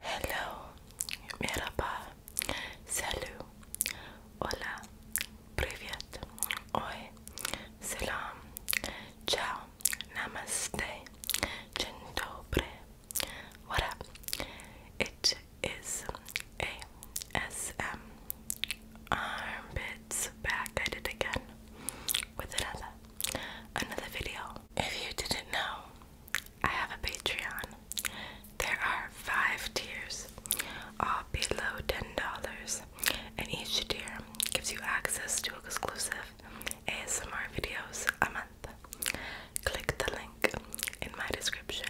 Hello, merhaba, salut, hola, привет, oi, salam, ciao, namaste, dzień dobry, what up? It is ASM Armpits back at it again with another another video if you didn't know, I have a Patreon. There are five tiers, all below $10, and each tier gives you access to exclusive ASMR videos a month. Click the link in my description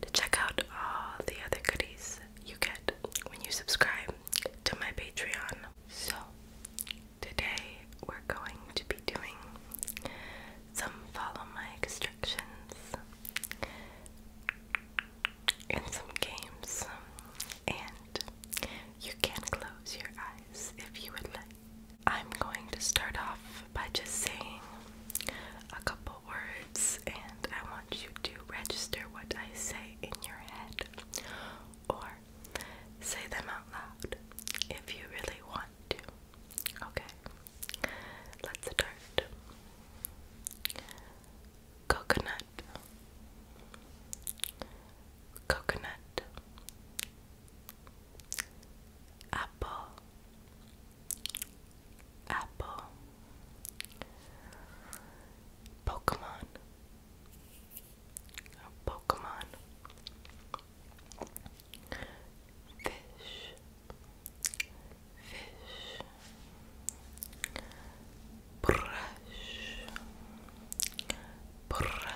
to check out all the other goodies you get when you subscribe to my Patreon. So, Today we're going to be doing some follow my instructions and some games. And you can close your eyes if you would like. I'm going to start off by just saying a couple words, and I want you to register what I say in your head or Say them out loud if you really want to. Okay, let's start. Coconut, coconut, apple, apple, Pokemon. Pokemon fish, fish, brush, brush,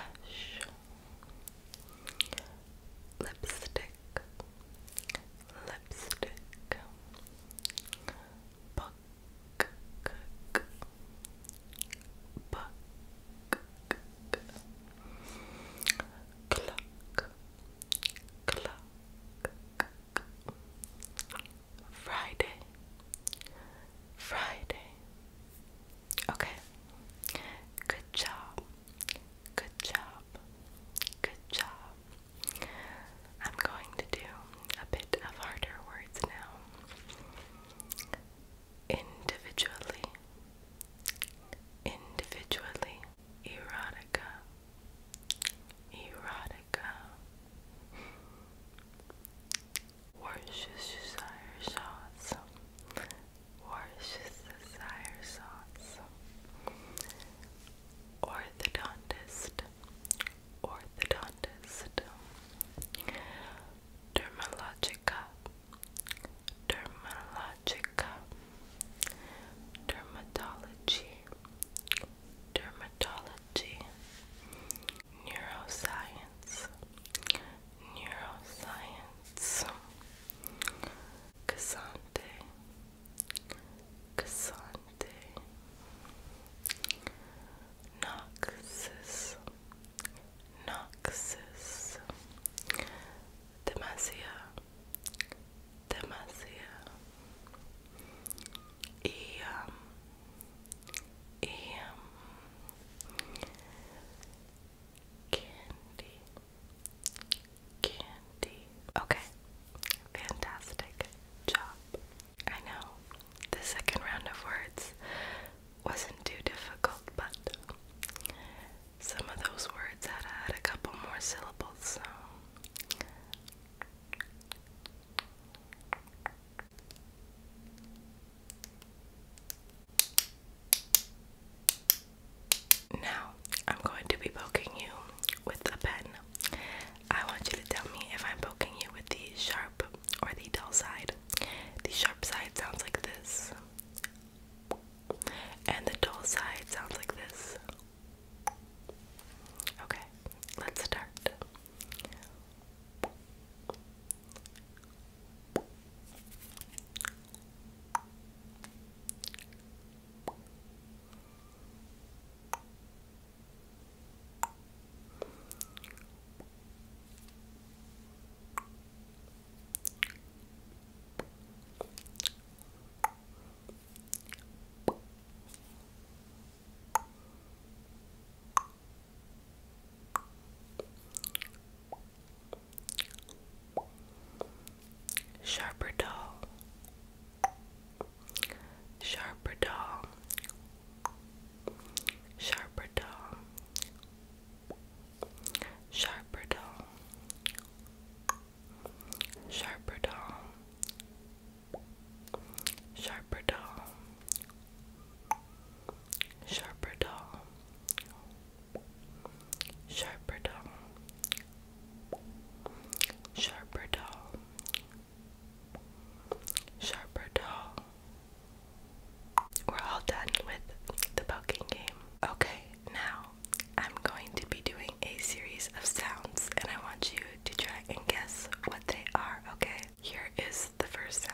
lipstick, lipstick, book, book, Cluck. Cluck. Friday. Friday. Okay. Good job. Good job. Good job. I'm going to do a bit of harder words now individually, individually, erotica, erotica, Worcestershire sauce, Worcestershire sauce, orthodontist, orthodontist dermatologica, dermatologica, dermatology, dermatology, neuroscience, neuroscience, Cassante, Cassante, Noxus, Noxus, Demacia, Demacia, Eam, Eam, Candy, Candy. Okay, fantastic job. I know the second round of words wasn't too difficult, but some of those words had, had a couple more syllables, so. Now, I'm going to be poking you with a pen. I want you to tell me if I'm poking you with the sharp or the dull side. The sharp side sounds like this, and the dull side sounds like this. Okay, let's start. Sharper doll, sharper doll, sharper tongue, sharper tongue, sharper tongue, sharper tongue, sharper tongue, sharper tongue, sharper tongue. Sharper or We're all done with the poking game. Okay, now I'm going to be doing a series of sounds and I want you to try and guess what they are, okay? Here is the first sound.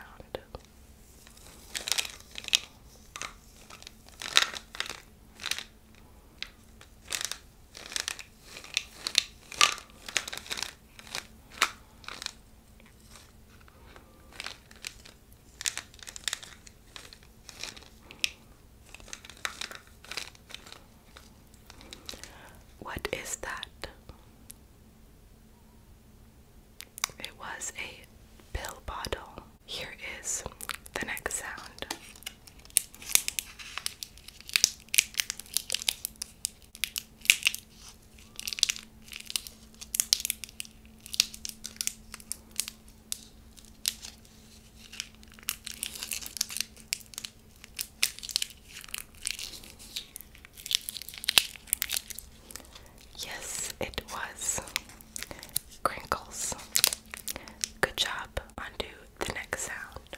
What is that? It was a pill bottle. Here is the next sound. Yes, it was crinkles. Good job. Undo the next sound.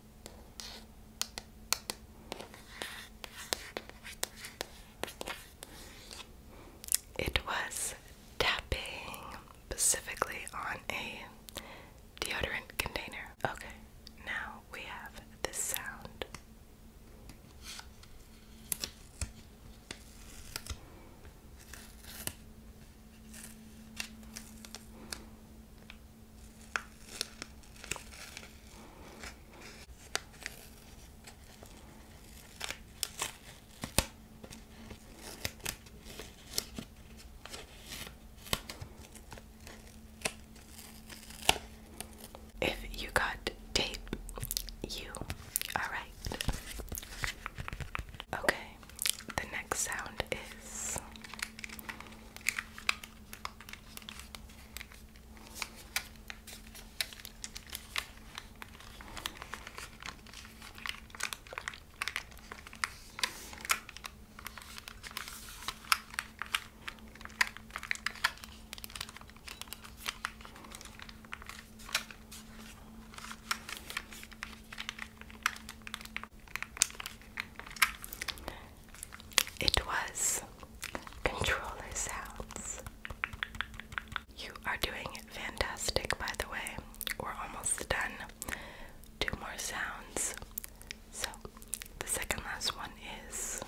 It was tapping specifically on a deodorant container. Okay, now we have this sound. If you got tape, you are right. Okay, the next sound is. It was controller sounds. You are doing fantastic, by the way. We're almost done. Two more sounds. So, the second last one is.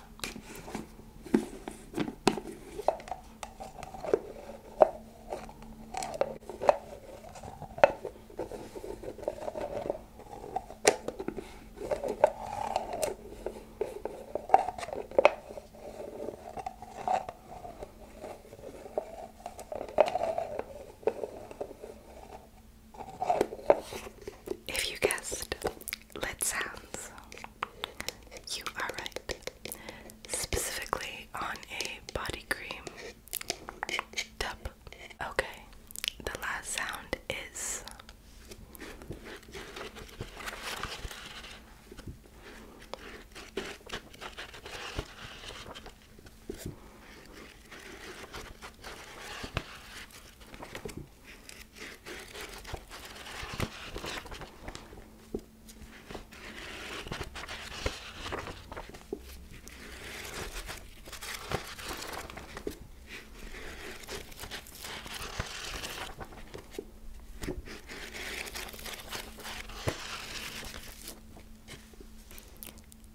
If you guessed lit sounds, you are right. Specifically on a body cream Okay. The last sound is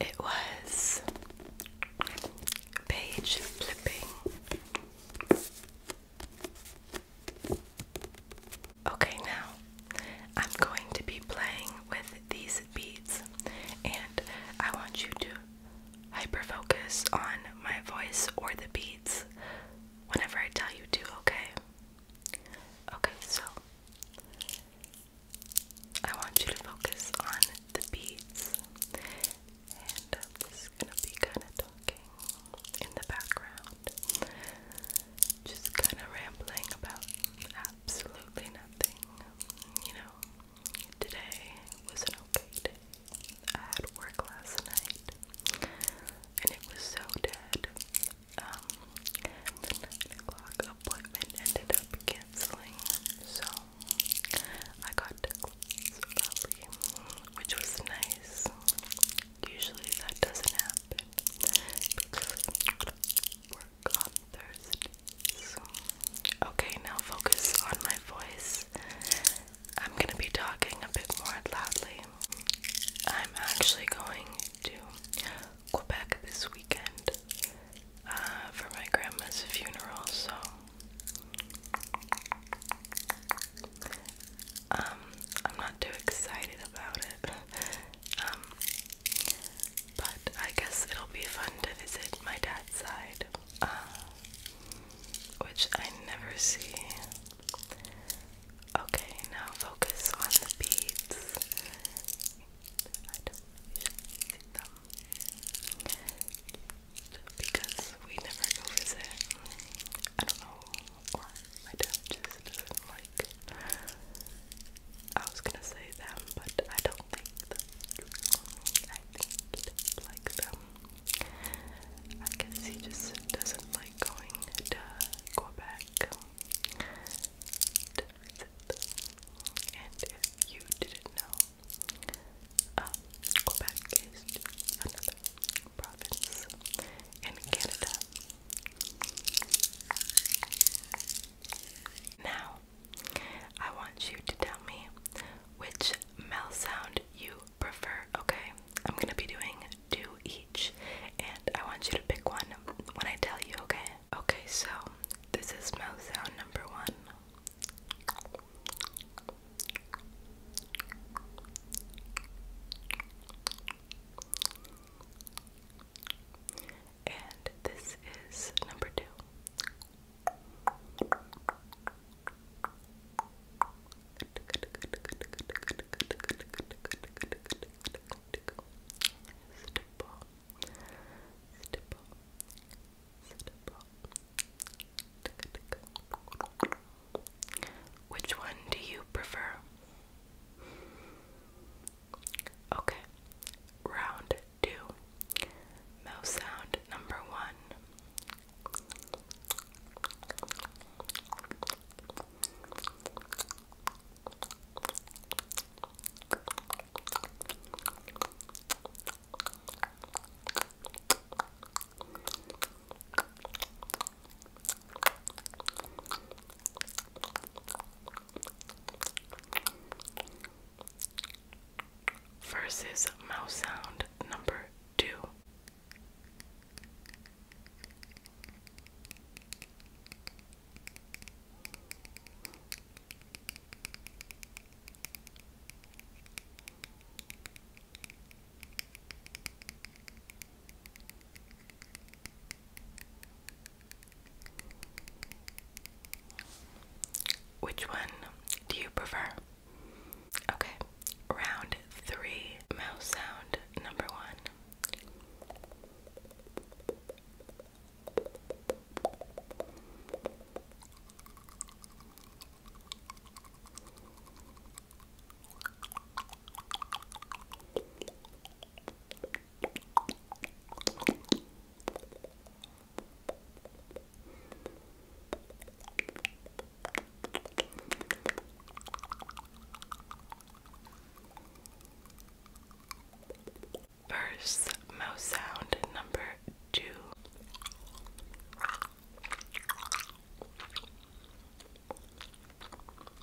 it was page flipping. Okay, now I'm going to be playing with these beads, and I want you to hyper focus on my voice or the beads whenever I tell you to, okay? Okay, so I want you to focus on the beads, and I'm just gonna be kind of talking in the background just kind of rambling about absolutely nothing. You know, today was an okay I had work last night, and it was so dead. Um, nine o'clock appointment ended up canceling, so I got to close early, which was nice. Usually that doesn't happen. Okay, now focus on my voice. I'm gonna be talking a bit more loudly. I'm actually going to Quebec this weekend uh, for my grandma's funeral, so um, I'm not too excited about it. Um, but I guess it'll be fun to visit my dad's side, uh, which I never see. Okay, now focus on the beads. I don't see them because we never go visit. I don't know or my dad just like. I was gonna say them, but I don't think that I think he does like them. I guess he just doesn't like going to Quebec. and if you didn't know, um, Quebec is another province in Canada, now, I want you to tell me which mouth sound you prefer, okay? I'm gonna be doing two each, and I want you to pick one when I tell you, okay? Okay, so this is mouth sound number one. And this is number two. Stipple. Stipple. Stipple. Which one do you prefer? Okay, round two. Mouth sound number one. Versus mouse sound number two. Which one do you prefer? Okay, round three mouse sound number one. First mouse sound number two.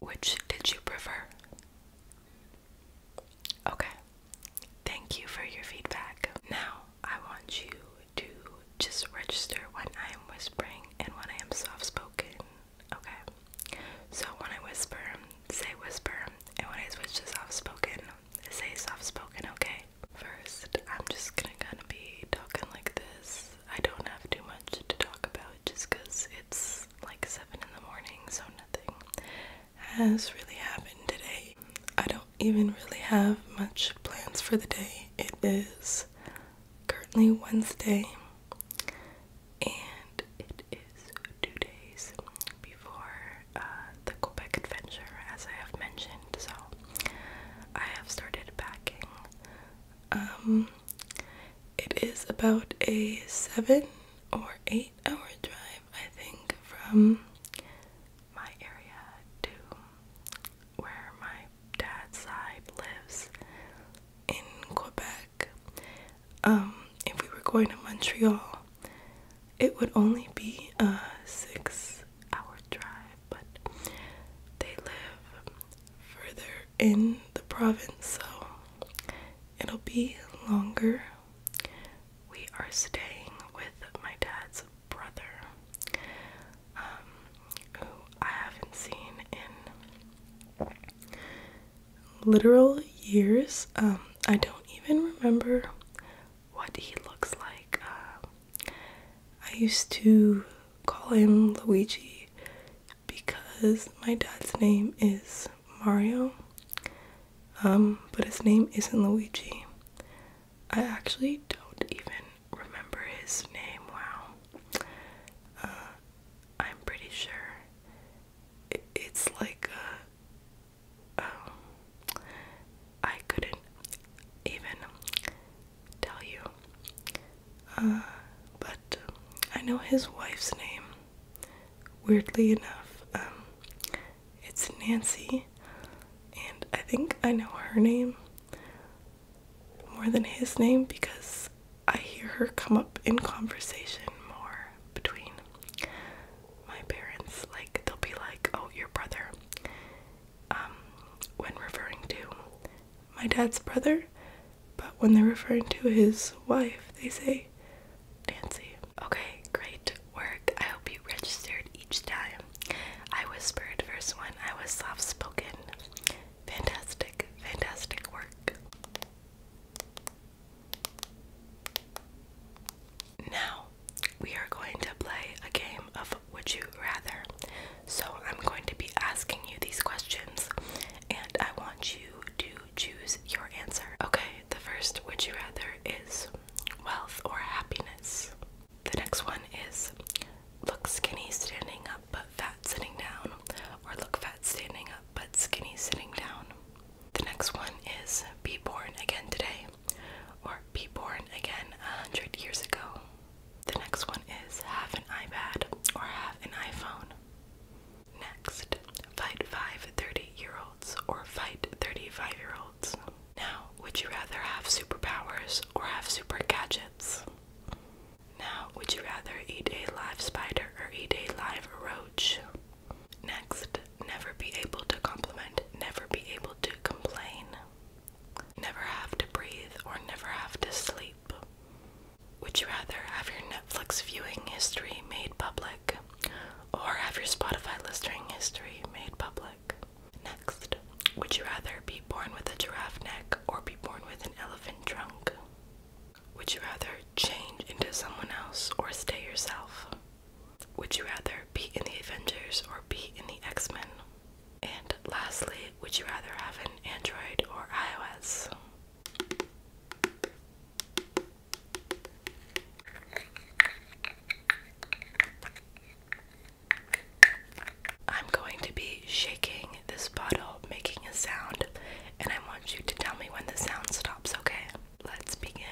Which did you prefer? Okay. Thank you for your feedback. Now, I want you to just register when I am whispering and when I am soft spoken. Okay? So, when I whisper, say whisper, and when I switch to soft spoken, say soft spoken, okay? First, I'm just gonna be talking like this. I don't have too much to talk about just because it's like 7 in the morning, so has really happened today. I don't even really have much plans for the day. It is currently Wednesday, and it is two days before uh, the Quebec adventure, as I have mentioned. So I have started packing. Um, it is about a seven or eight hour drive, I think, from my area to where my dad's side lives in Quebec. Um, if we were going to Montreal, it would only be a six hour drive, but they live further in the province, so it'll be longer. We are staying with my dad's brother, um, who I haven't seen in literal years. Um, I don't even remember what he looks like. Uh, I used to call him Luigi because my dad's name is Mario, um, but his name isn't Luigi. I actually don't even remember his name. Wow. Uh, I'm pretty sure it's like a, um, I couldn't even tell you. Uh, but um, I know his wife's name. Weirdly enough, um, it's Nancy, and I think I know her name more than his name because I hear her come up in conversation more between my parents. Like, they'll be like, Oh, your brother, um, when referring to my dad's brother, but when they're referring to his wife, they say Nancy. Okay, great work. I hope you registered each time. I whispered first one, I was soft spoken. Fantastic, fantastic work. Now, we are going to play a game of Would You Rather. So, I'm going to be asking you these questions, and I want you do choose your answer. Okay, the first would you rather is wealth or happiness. The next one is look skinny standing up but fat sitting down, or look fat standing up but skinny sitting down. The next one is be born again today, or be born again a hundred years ago. The next one is have an iPad or have an iPhone. Next, fight five 30 year olds or fight 35 year olds. Now, would you rather have superpowers or have super gadgets? Now, would you rather eat a live spider or eat a live roach? Next, never be able to compliment, never be able to complain, never have to breathe, or never have to sleep. Would you rather have your Netflix viewing history made public or have your Spotify listening history made public? Next, would you rather be born with a giraffe neck or be born with an elephant trunk? Would you rather change into someone else or stay yourself? Would you rather be in the Avengers or be in the X Men? And lastly, would you rather have an Android or iOS? I'm going to be shaking this bottle, making a sound, and I want you to tell me when the sound stops, okay? Let's begin.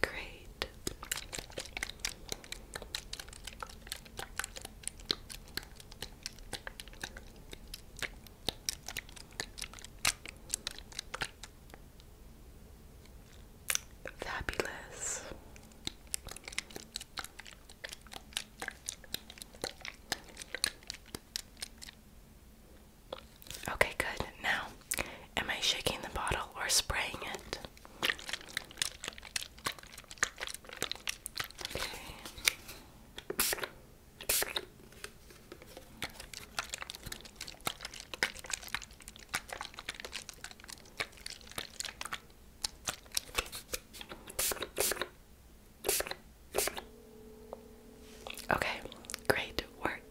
Great. Fabulous. Okay, good. Now, am I shaking the bottle or spraying it? Okay, great work.